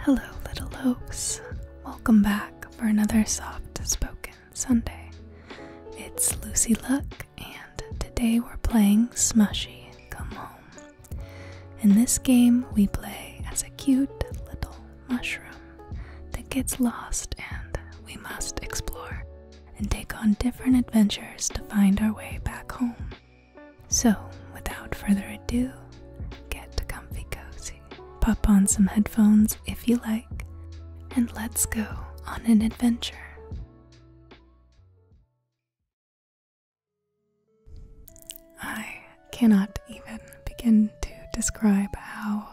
Hello, little oaks. Welcome back for another soft spoken Sunday. It's Lucy Luck, and today we're playing Smushy Come Home. In this game, we play as a cute little mushroom that gets lost, and we must explore and take on different adventures to find our way back home. So, without further ado, get comfy cozy, pop on some headphones if you like, and let's go on an adventure. I cannot even begin to describe how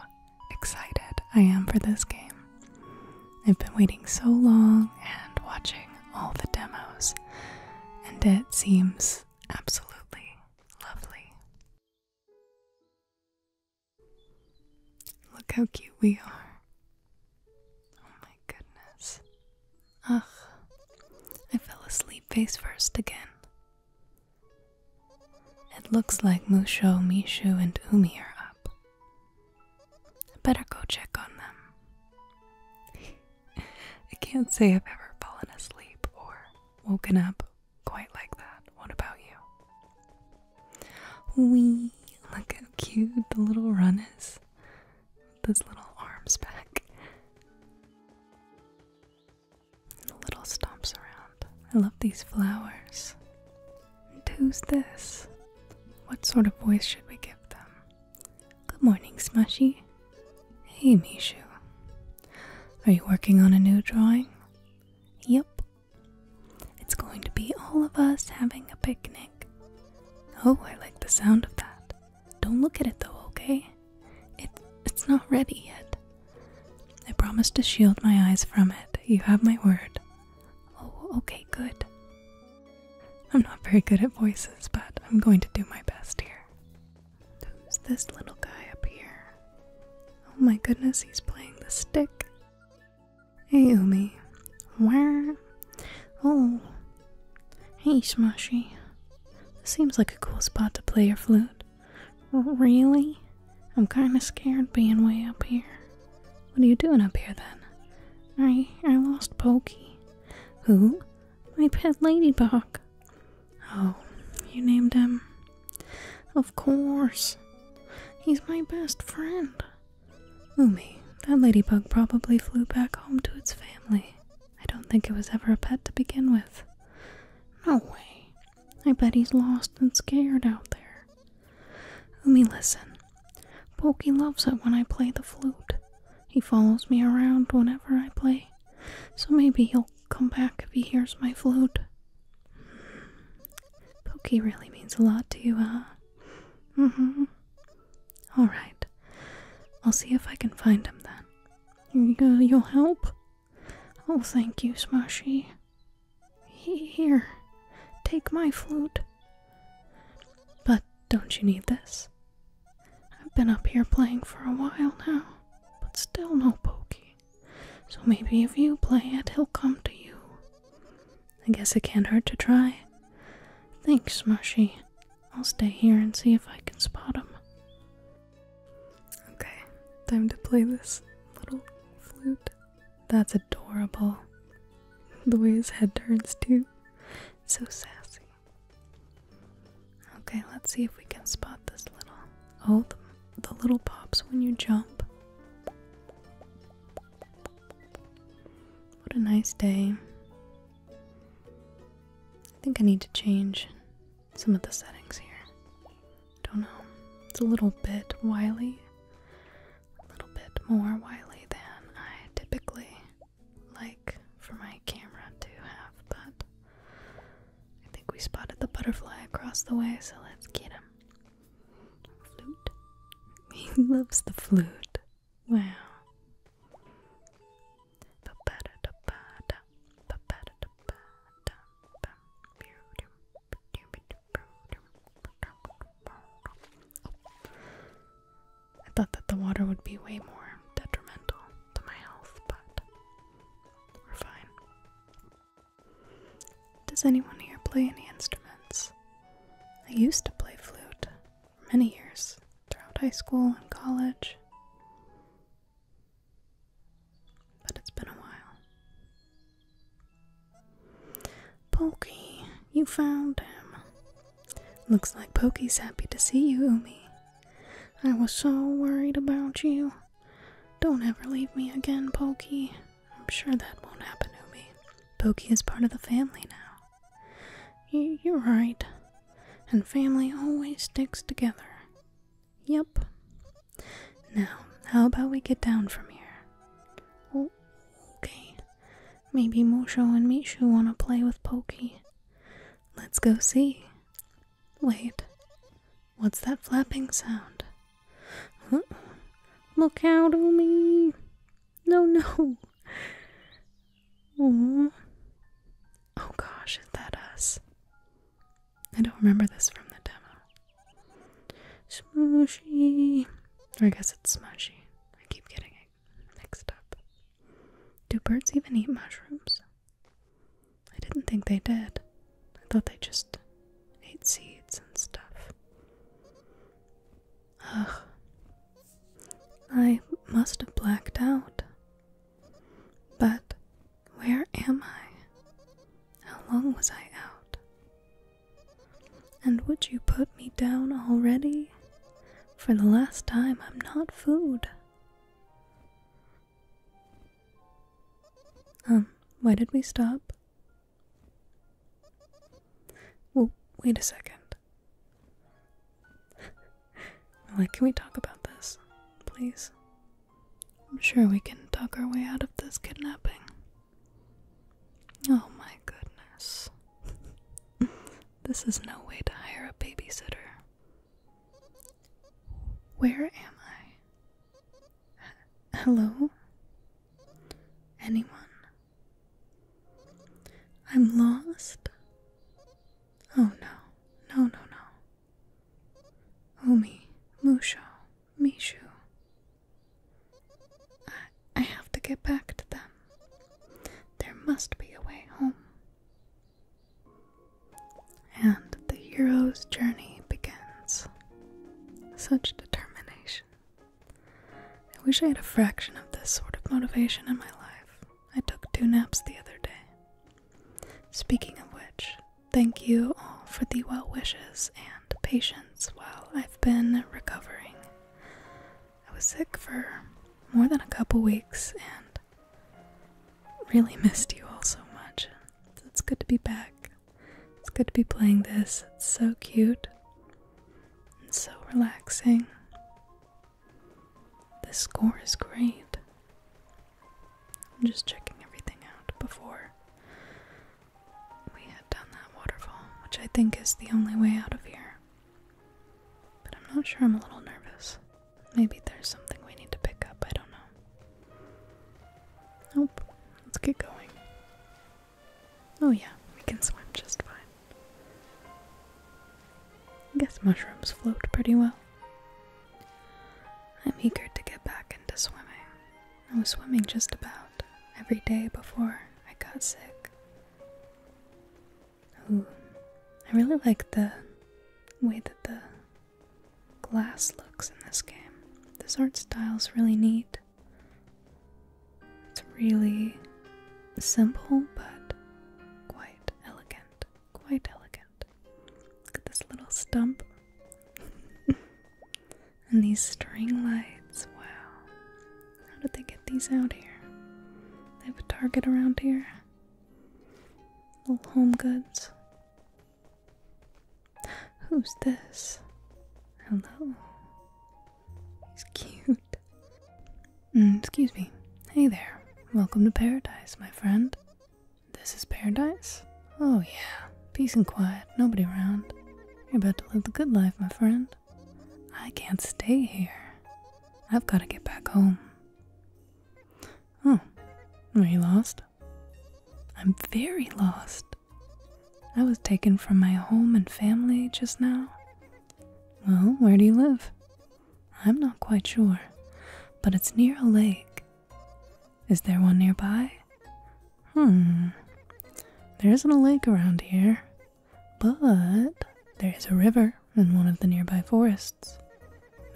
excited I am for this game. I've been waiting so long and watching all the demos, and it seems absolutely lovely. Look how cute we are. Oh my goodness. Ugh, I fell asleep face first again. It looks like Musho, Mishu, and Umi are up. Better go check on them. I can't say I've ever fallen asleep or woken up quite like that. What about you? Wee, look how cute the little run is. Those little arms back. And the little stomps around. I love these flowers. And who's this? What sort of voice should we give them? Good morning, Smushy. Hey, Mishu. Are you working on a new drawing? Yep. It's going to be all of us having a picnic. Oh, I like the sound of that. Don't look at it though, okay? It, it's not ready yet. I promise to shield my eyes from it. You have my word. Oh, okay, good. I'm not very good at voices, but I'm going to do my best here. Who's this little guy up here? Oh my goodness, he's playing the stick. Hey, Umi. Where? Oh. Hey, Smushy. seems like a cool spot to play your flute. Really? I'm kinda scared being way up here. What are you doing up here then? I I lost Pokey. Who? My pet ladybug. Oh, you named him? Of course. He's my best friend. Umi, that ladybug probably flew back home to its family. I don't think it was ever a pet to begin with. No way. I bet he's lost and scared out there. Umi, listen. Pokey loves it when I play the flute. He follows me around whenever I play, so maybe he'll come back if he hears my flute. Pokey really means a lot to you, huh? Mm hmm. Alright. I'll see if I can find him then. You, uh, you'll help? Oh, thank you, Smashy. Here, take my flute. But don't you need this? I've been up here playing for a while now, but still no pokey. So maybe if you play it, he'll come to you. I guess it can't hurt to try. Thanks, Marshy. I'll stay here and see if I can spot him. Okay, time to play this little flute. That's adorable. The way his head turns, too. So sassy. Okay, let's see if we can spot this little. Oh, the, little pops when you jump. What a nice day. I think I need to change some of the settings here. Don't know. It's a little bit wily a little bit more wily than I typically like for my camera to have, but I think we spotted the butterfly across the way, so let's get him. Flute. He loves the flute. Wow. I thought that the water would be way more detrimental to my health, but we're fine. Does anyone here play any instruments? I used to play flute many years throughout high school and college, but it's been a while. Pokey, you found him. Looks like Pokey's happy to see you, Umi. I was so worried about you. Don't ever leave me again, Pokey. I'm sure that won't happen, Umi. Pokey is part of the family now. you're right. And family always sticks together. Yep. Now, how about we get down from here? okay. Maybe Mosho and Mishu want to play with Pokey. Let's go see. Wait, what's that flapping sound? Look out, Umi! No, no! Ooh. Oh gosh, is that us? I don't remember this from the demo. Smooshy. I guess it's mushy. I keep getting it mixed up. Do birds even eat mushrooms? I didn't think they did. I thought they just ate seeds and stuff. Ugh. I must have blacked out. But where am I? How long was I out? And would you put me down already? For the last time, I'm not food. Um, why did we stop? Well, wait a second. like, can we talk about this, please? I'm sure we can talk our way out of this kidnapping. Oh my goodness. this is no way to hire a babysitter. Where am I? Hello? Anyone? I'm lost? Oh no, no, no, no. Omi, Musho, Mishu. I, I have to get back to them. There must be a way home. And the hero's journey begins. Such determination. I wish I had a fraction of this sort of motivation in my life. I took two naps the other day. Speaking of which, thank you all for the well wishes and patience months while I've been recovering. I was sick for more than a couple weeks and really missed you all so much. It's good to be back. It's good to be playing this. It's so cute and so relaxing. The score is great. I'm just checking everything out before we head down that waterfall, which I think is the only way out of here. But I'm not sure I'm a little nervous. Maybe there's something we need to pick up, I don't know. Nope, let's get going. Oh, yeah, we can swim just fine. I guess mushrooms float pretty well. I'm eager to get back into swimming. I was swimming just about every day before I got sick. Ooh, I really like the way that the glass looks in this game. This art style is really neat. It's really simple but quite elegant. Quite elegant. Look at this little stump. And these string lights, wow. How did they get these out here? They have a Target around here. Little home goods. Who's this? Hello. He's cute. Mm, excuse me. Hey there. Welcome to paradise, my friend. This is paradise? Oh, yeah. Peace and quiet. Nobody around. You're about to live the good life, my friend. I can't stay here. I've got to get back home. Oh, are you lost? I'm very lost. I was taken from my home and family just now. Well, where do you live? I'm not quite sure, but it's near a lake. Is there one nearby? Hmm. There isn't a lake around here, but there is a river in one of the nearby forests.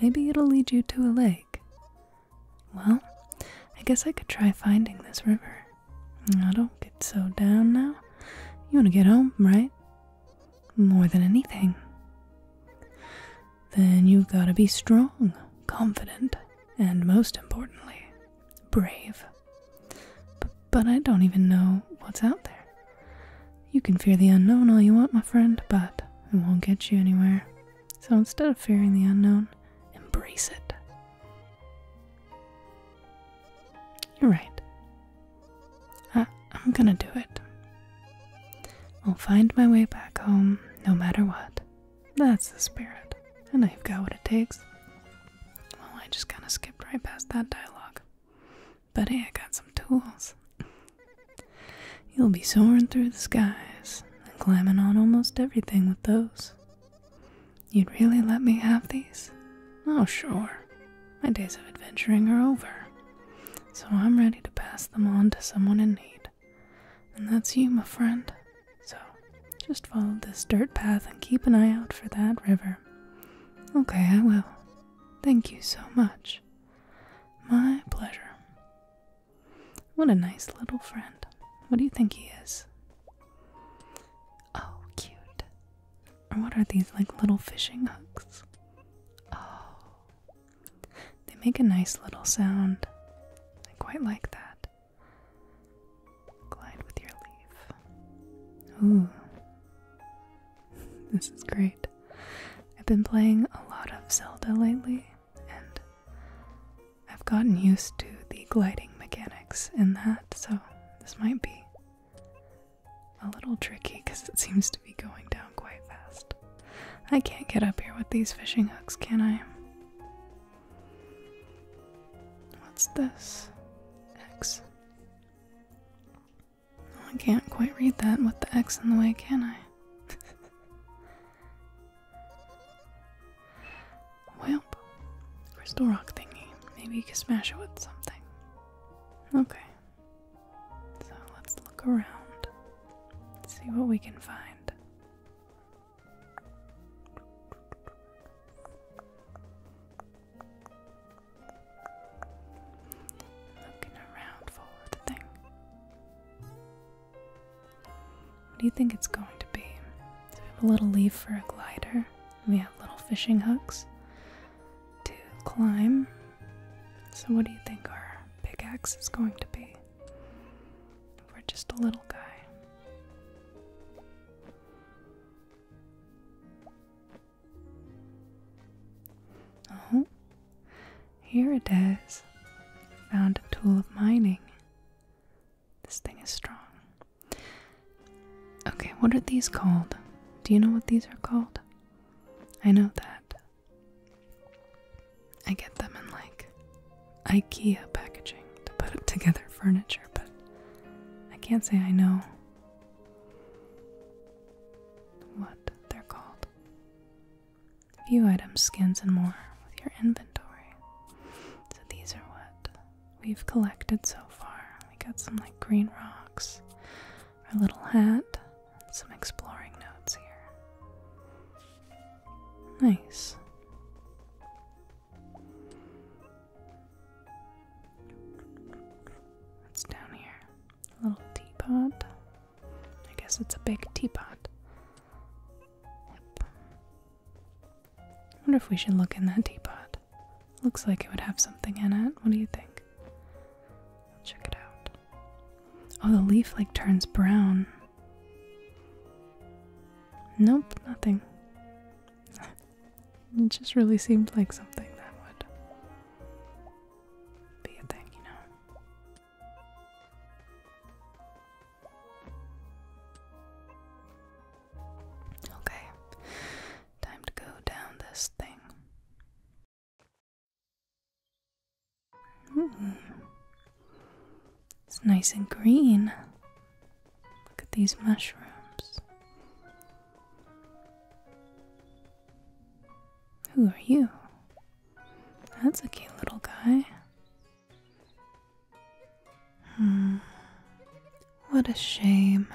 Maybe it'll lead you to a lake. Well, I guess I could try finding this river. I don't get so down now. You want to get home, right? More than anything. Then you've got to be strong, confident, and most importantly, brave. but I don't even know what's out there. You can fear the unknown all you want, my friend, but it won't get you anywhere. So instead of fearing the unknown, embrace it. You're right. I'm gonna do it. I'll find my way back home no matter what. That's the spirit, and I've got what it takes. Well, I just kind of skipped right past that dialogue. But hey, I got some tools. You'll be soaring through the skies and climbing on almost everything with those. You'd really let me have these? Oh, sure. My days of adventuring are over. So I'm ready to pass them on to someone in need. And that's you, my friend. So just follow this dirt path and keep an eye out for that river. Okay, I will. Thank you so much. My pleasure. What a nice little friend. What do you think he is? Oh, cute. Or what are these like little fishing hooks? Oh. They make a nice little sound. I quite like that. Glide with your leaf. Ooh. this is great. I've been playing a lot of Zelda lately, and I've gotten used to the gliding mechanics in that, so this might be a little tricky because it seems to be going down quite fast. I can't get up here with these fishing hooks, can I? What's this? X? can't quite read that with the X in the way, can I? Welp. Crystal rock thingy. Maybe you can smash it with something. Okay. So let's look around. See what we can find. Looking around for the thing. What do you think it's going to be? we have a little leaf for a glider. We have little fishing hooks to climb. So what do you think our pickaxe is going to be? We're just a little guy. Uh Here it is. Found a tool of mining. This thing is strong. Okay, what are these called? Do you know what these are called? I know that. I get them in like IKEA packaging to put together furniture, but I can't say I know what they're called. View items, skins, and more with your inventory. So these are what we've collected so far. We got some like green rocks, our little hat, some exploring notes here. Nice. What's down here? A little teapot. I guess it's a big teapot. wonder if we should look in that teapot. Looks like it would have something in it. What do you think? Check it out. Oh, the leaf like turns brown. Nope, nothing. It just really seemed like something that would be a thing, you know. Okay, time to go down this thing. It's nice and green. Look at these mushrooms. Who are you? That's a cute little guy. Hmm. What a shame.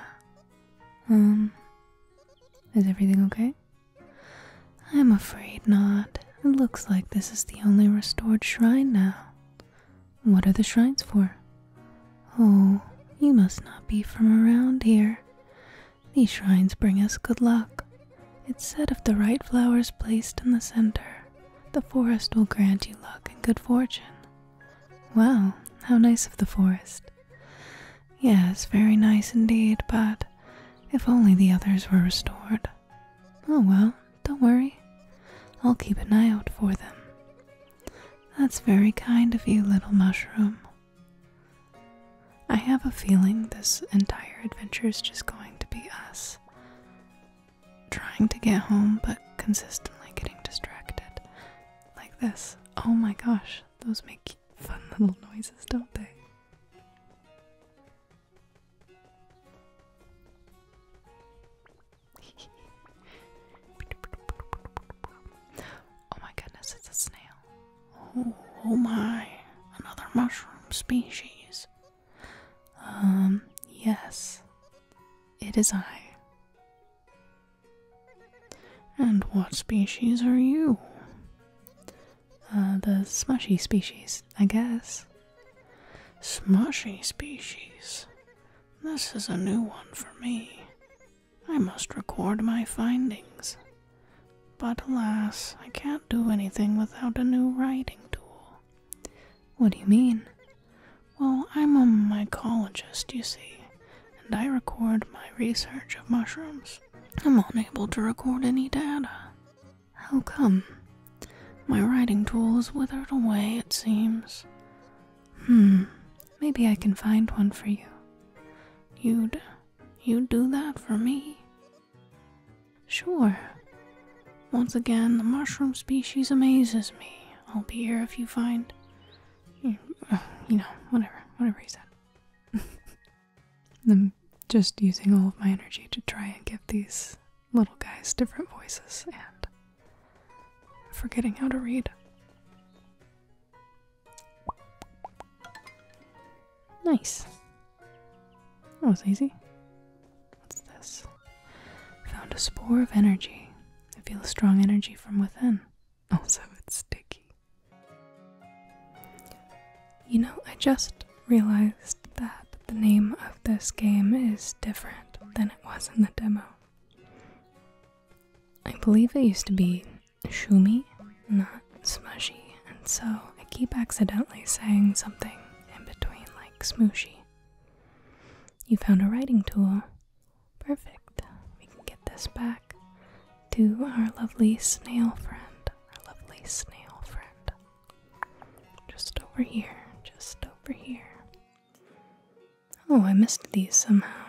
Um, is everything okay? I'm afraid not. It looks like this is the only restored shrine now. What are the shrines for? Oh, you must not be from around here. These shrines bring us good luck. It's said if the right flowers placed in the center, the forest will grant you luck and good fortune. Well, how nice of the forest. Yes, very nice indeed, but if only the others were restored. Oh well, don't worry. I'll keep an eye out for them. That's very kind of you, little mushroom. I have a feeling this entire adventure is just going to be us trying to get home but consistently getting distracted. Like this. Oh my gosh, those make fun little noises, don't they? oh my goodness, it's a snail. Oh, oh, my, another mushroom species. Um, yes, it is I. And what species are you? Uh, the smushy species, I guess. Smushy species? This is a new one for me. I must record my findings. But alas, I can't do anything without a new writing tool. What do you mean? Well, I'm a mycologist, you see, and I record my research of mushrooms. I'm unable to record any data. How come? My writing tool is withered away, it seems. Hmm, maybe I can find one for you. You'd. you'd do that for me? Sure. Once again, the mushroom species amazes me. I'll be here if you find. You, you know, whatever. Whatever he said. I'm just using all of my energy to try and give these little guys different voices and Forgetting how to read. Nice. That was easy. What's this? Found a spore of energy. I feel a strong energy from within. Also, it's sticky. You know, I just realized that the name of this game is different than it was in the demo. I believe it used to be Shumi, not Smushy, and so I keep accidentally saying something in between, like Smooshy. You found a writing tool. Perfect. We can get this back to our lovely snail friend. Our lovely snail friend. Just over here. Just over here. Oh, I missed these somehow.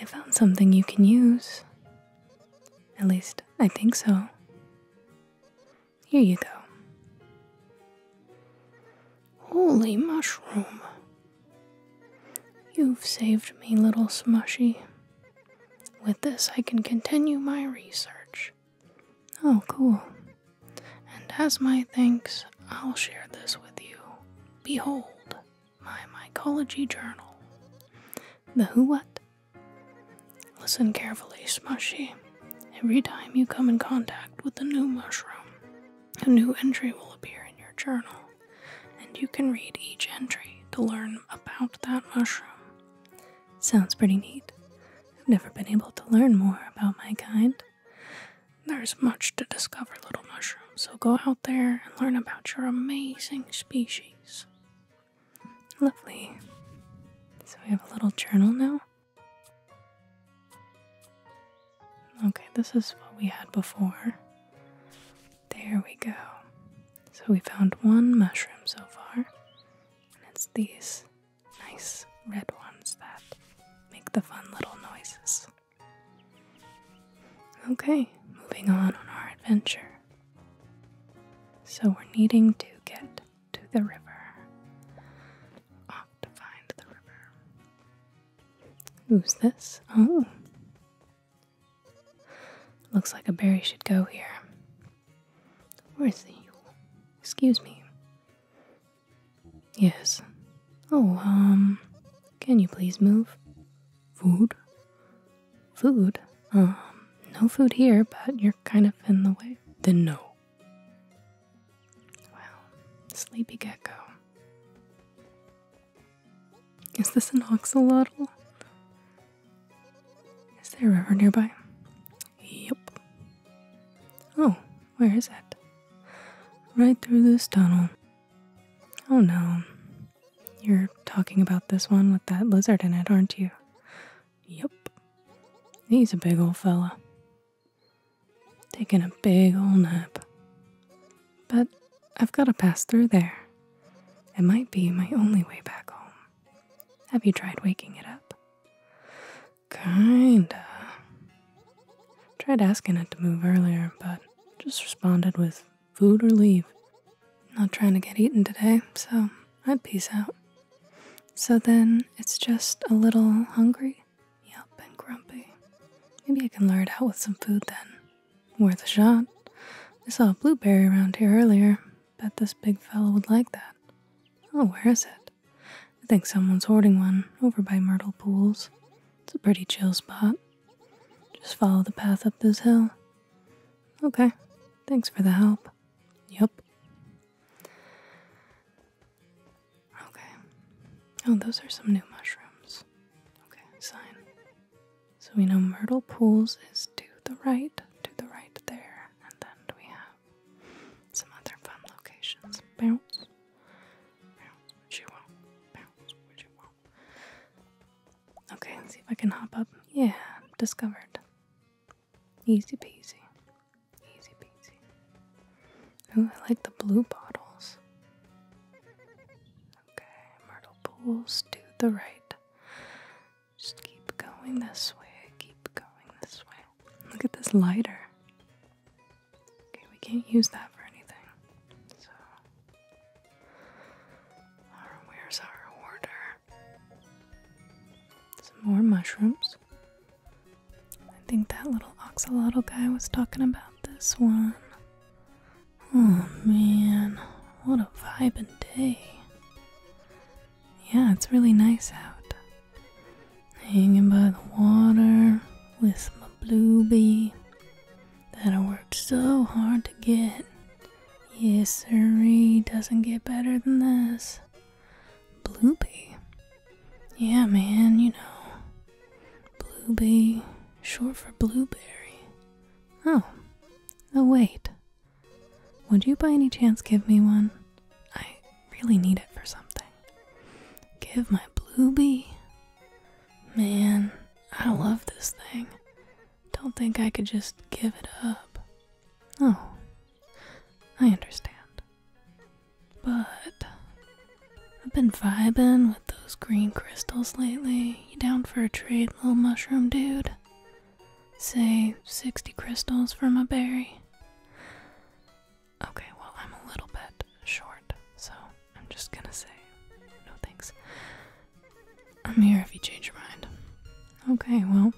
I found something you can use. At least, I think so. Here you go. Holy mushroom! You've saved me, little smushy. With this, I can continue my research. Oh, cool. And as my thanks, I'll share this with you. Behold, my mycology journal. The who what? Listen carefully, Smushy. Every time you come in contact with a new mushroom, a new entry will appear in your journal, and you can read each entry to learn about that mushroom. Sounds pretty neat. I've never been able to learn more about my kind. There's much to discover, little mushroom, so go out there and learn about your amazing species. Lovely. So we have a little journal now. Okay, this is what we had before. There we go. So we found one mushroom so far, and it's these nice red ones that make the fun little noises. Okay, moving on on our adventure. So we're needing to get to the river. Off to find the river. Who's this? Oh. Looks like a berry should go here. Where's the Excuse me. Yes. Oh, um, can you please move? Food? Food? Um, no food here, but you're kind of in the way. Then no. Well, sleepy gecko. Is this an oxalotl? Is there a river nearby? Yep. Oh, where is that? Right through this tunnel. Oh no. You're talking about this one with that lizard in it, aren't you? Yep. He's a big old fella. Taking a big old nap. But I've got to pass through there. It might be my only way back home. Have you tried waking it up? Kinda. Tried asking it to move earlier, but just responded with food or leave. Not trying to get eaten today, so I'd peace out. So then it's just a little hungry? Yup, and grumpy. Maybe I can lure it out with some food then. Worth a shot. I saw a blueberry around here earlier. Bet this big fellow would like that. Oh, where is it? I think someone's hoarding one over by Myrtle Pools. It's a pretty chill spot. Just follow the path up this hill. Okay, thanks for the help. Yup. Okay. Oh, those are some new mushrooms. Okay, sign. So we know Myrtle Pools is to the right, to the right there, and then we have some other fun locations. Bounce, bounce, what you want, bounce, what you want. Okay, let's see if I can hop up. Yeah, discovered. Easy peasy, easy peasy. Oh, I like the blue bottles. Okay, Myrtle Pools to the right. Just keep going this way, keep going this way. Look at this lighter. Okay, we can't use that for anything. So, where's our order? Some more mushrooms. I think that little oxalotl guy was talking about this one. Oh man, what a vibin' day. Yeah, it's really nice out. Hanging by the water with my bluebee that I worked so hard to get. Yes, sirree, doesn't get better than this. Bluebee? Yeah, man, you know. Bluebee, short for blueberry. Oh, oh wait. Would you by any chance give me one? I really need it for something. Give my bluebee. Man, I love this thing. Don't think I could just give it up. Oh, I understand. But I've been vibing with those green crystals lately. You down for a trade, little mushroom dude? Say 60 crystals for my berry. Okay, well, I'm a little bit short, so I'm just gonna say no thanks. I'm here if you change your mind. Okay, well,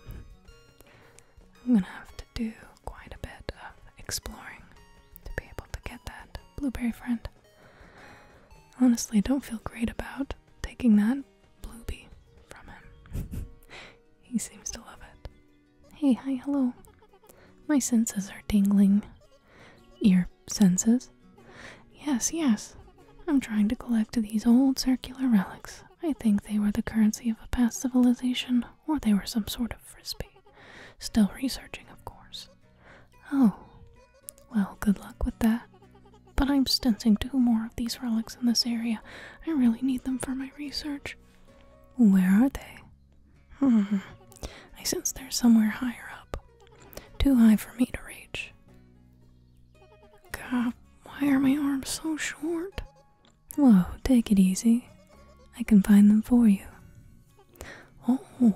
I'm gonna have to do quite a bit of exploring to be able to get that blueberry friend. Honestly, don't feel great about taking that bluebee from him. he seems to love it. Hey, hi, hello. My senses are tingling. Your senses? Yes, yes. I'm trying to collect these old circular relics. I think they were the currency of a past civilization, or they were some sort of frisbee. Still researching, of course. Oh. Well, good luck with that. But I'm stenciling two more of these relics in this area. I really need them for my research. Where are they? Hmm. I sense they're somewhere higher up. Too high for me to reach. God, why are my arms so short? Whoa, take it easy. I can find them for you. Oh,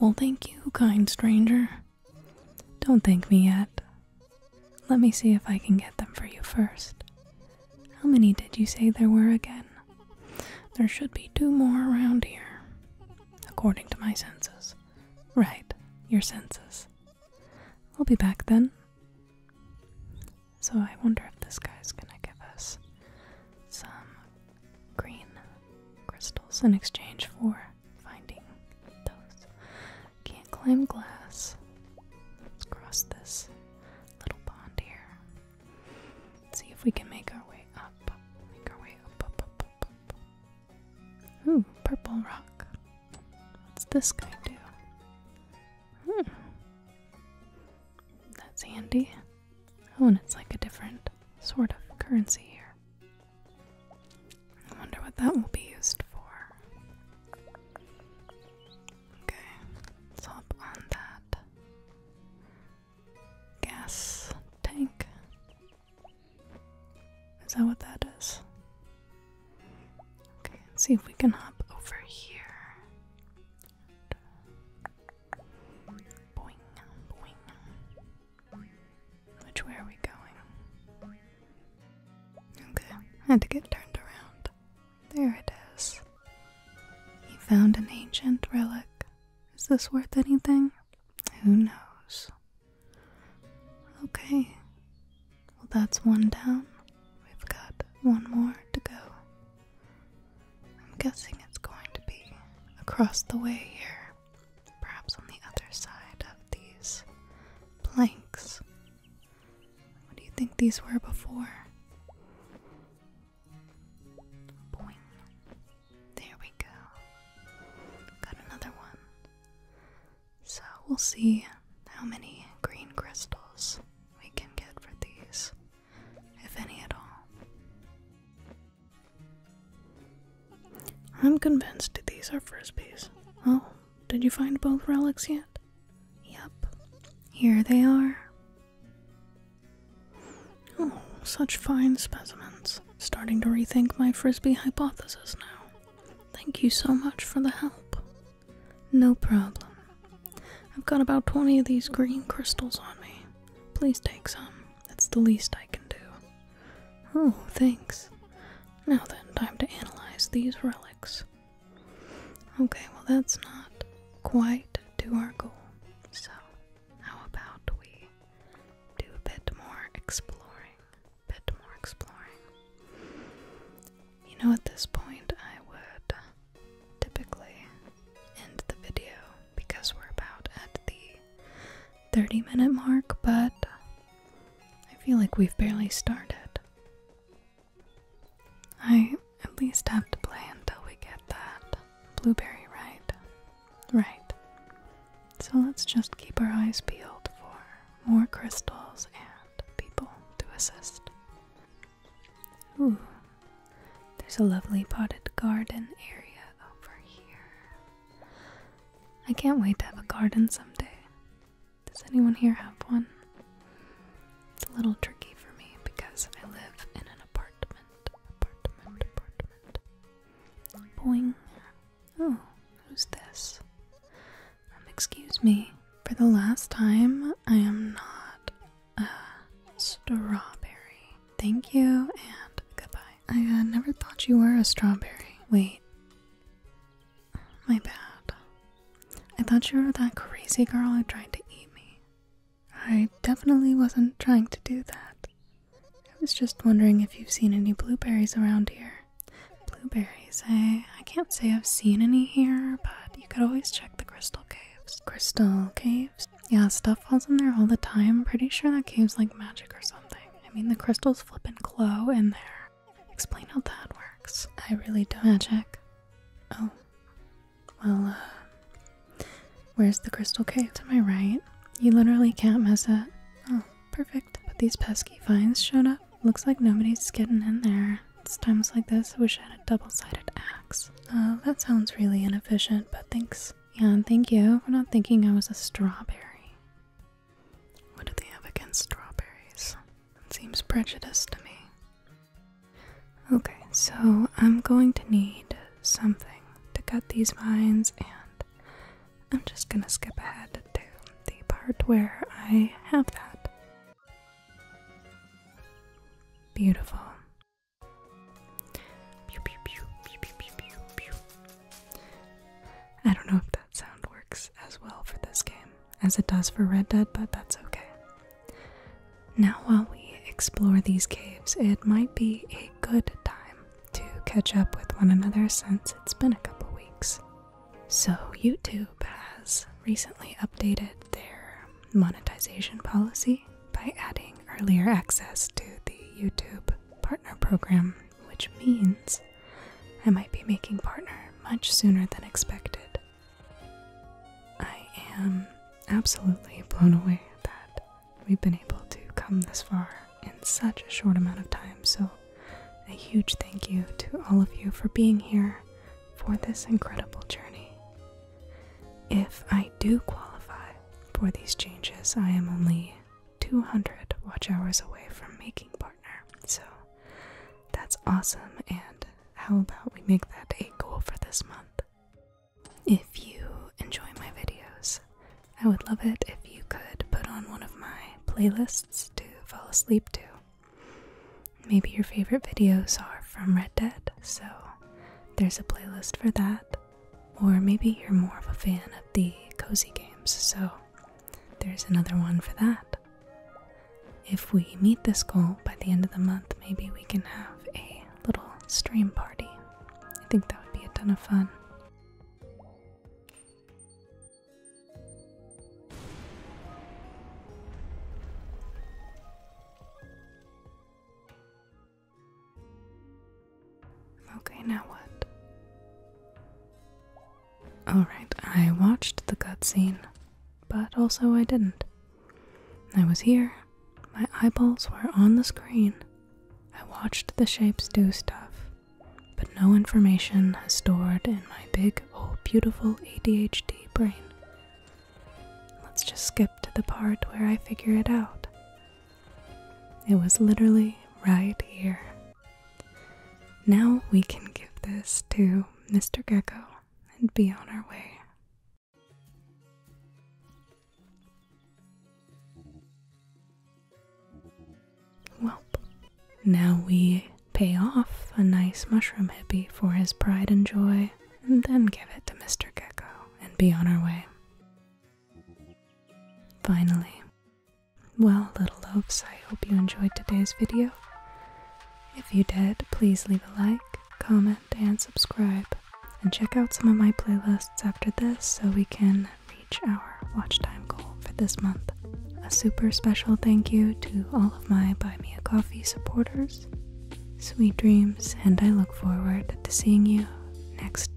well, thank you, kind stranger. Don't thank me yet. Let me see if I can get them for you first. How many did you say there were again? There should be two more around here, according to my senses. Right, your senses. I'll be back then. So I wonder if this guy's gonna give us some green crystals in exchange for finding those. Can't climb glass. Let's cross this little pond here. Let's see if we can make our way up. Make our way up, Ooh, purple rock. What's this guy do? Hmm. That's handy. Oh, and it's like a different sort of currency here. I wonder what that will be used for. Okay, hop on that gas tank. Is that what that is? Okay, let's see if we can hop over here. Which way are we going? Okay, I had to get turned around. There it is. He found an ancient relic. Is this worth anything? Who knows? Okay. Well, that's one down. We've got one more to go. I'm guessing it's going to be across the way here, perhaps on the other side of these planks. What do you think these were before? There we go. Got another one. So we'll see how many green crystals we can get for these, if any at all. I'm convinced these are frisbees. Oh, did you find both relics yet? Yep, here they are. Oh, such fine specimens. Starting to rethink my frisbee hypothesis now. Thank you so much for the help. No problem. I've got about 20 of these green crystals on me. Please take some. It's the least I can do. Oh, thanks. Now then, time to analyze these relics. Okay, well, that's not quite to our goal. So, how about we do a bit more exploring? Bit more exploring. You know, at this point, I would typically end the video because we're about at the 30 minute mark, but I feel like we've barely started. I at least have to play until we get that blueberry right. Right. So let's just keep our eyes peeled for more crystals and people to assist. Ooh, there's a lovely potted garden area over here. I can't wait to have a garden someday. Does anyone here have one? It's a little tricky for me because I live in an apartment. Apartment, apartment. Boing. Oh, who's this? Um, excuse me. For the last time, I am not a strawberry. Thank you and goodbye. I uh, never thought you were a strawberry. Wait. My bad. I thought you were that crazy girl who tried to eat me. I definitely wasn't trying to do that. I was just wondering if you've seen any blueberries around here. Blueberries, I I can't say I've seen any here, but you could always check the crystal caves. Crystal caves? Yeah, stuff falls in there all the time. Pretty sure that cave's like magic or something. I mean, the crystals flip and glow in there. Explain how that works. I really don't. Magic. Oh, well, uh, where's the crystal cave? To my right. You literally can't mess it. Oh, perfect. But these pesky vines showed up. Looks like nobody's getting in there. It's times like this I wish I had a double-sided axe. Uh, that sounds really inefficient, but thanks. Yeah, and thank you for not thinking I was a strawberry. What do they have against strawberries? It seems prejudiced to me. Okay, so I'm going to need something to cut these vines, and I'm just gonna skip ahead to the part where I have that. Beautiful. I don't know if that sound works as well for this game as it does for Red Dead, but that's okay. Now, while we explore these caves, it might be a good time to catch up with one another since it's been a couple weeks. So, YouTube has recently updated their monetization policy by adding earlier access to the YouTube Partner Program, which means I might be making partner much sooner than expected. I am absolutely blown away that we've been able to come this far in such a short amount of time. So, a huge thank you to all of you for being here for this incredible journey. If I do qualify for these changes, I am only 200 watch hours away from making partner. So, that's awesome. And how about we make that a goal for this month? If you enjoy my videos, I would love it if you could put on one of my playlists to fall asleep to. Maybe your favorite videos are from Red Dead, so there's a playlist for that. Or maybe you're more of a fan of the cozy games, so there's another one for that. If we meet this goal by the end of the month, maybe we can have a little stream party. I think that would be a ton of fun. Okay, now what? Alright, I watched the cutscene, but also I didn't. I was here. My eyeballs were on the screen. I watched the shapes do stuff, but no information is stored in my big, oh, beautiful ADHD brain. Let's just skip to the part where I figure it out. It was literally right here. Now we can give this to Mr. Gecko and be on our way. Well, now we pay off a nice mushroom hippie for his pride and joy, and then give it to Mr. Gecko and be on our way. Finally. Well, little loaves, I hope you enjoyed today's video. If you did, please leave a like, comment, and subscribe and check out some of my playlists after this so we can reach our watch time goal for this month. A super special thank you to all of my Buy Me a Coffee supporters. Sweet dreams, and I look forward to seeing you next time.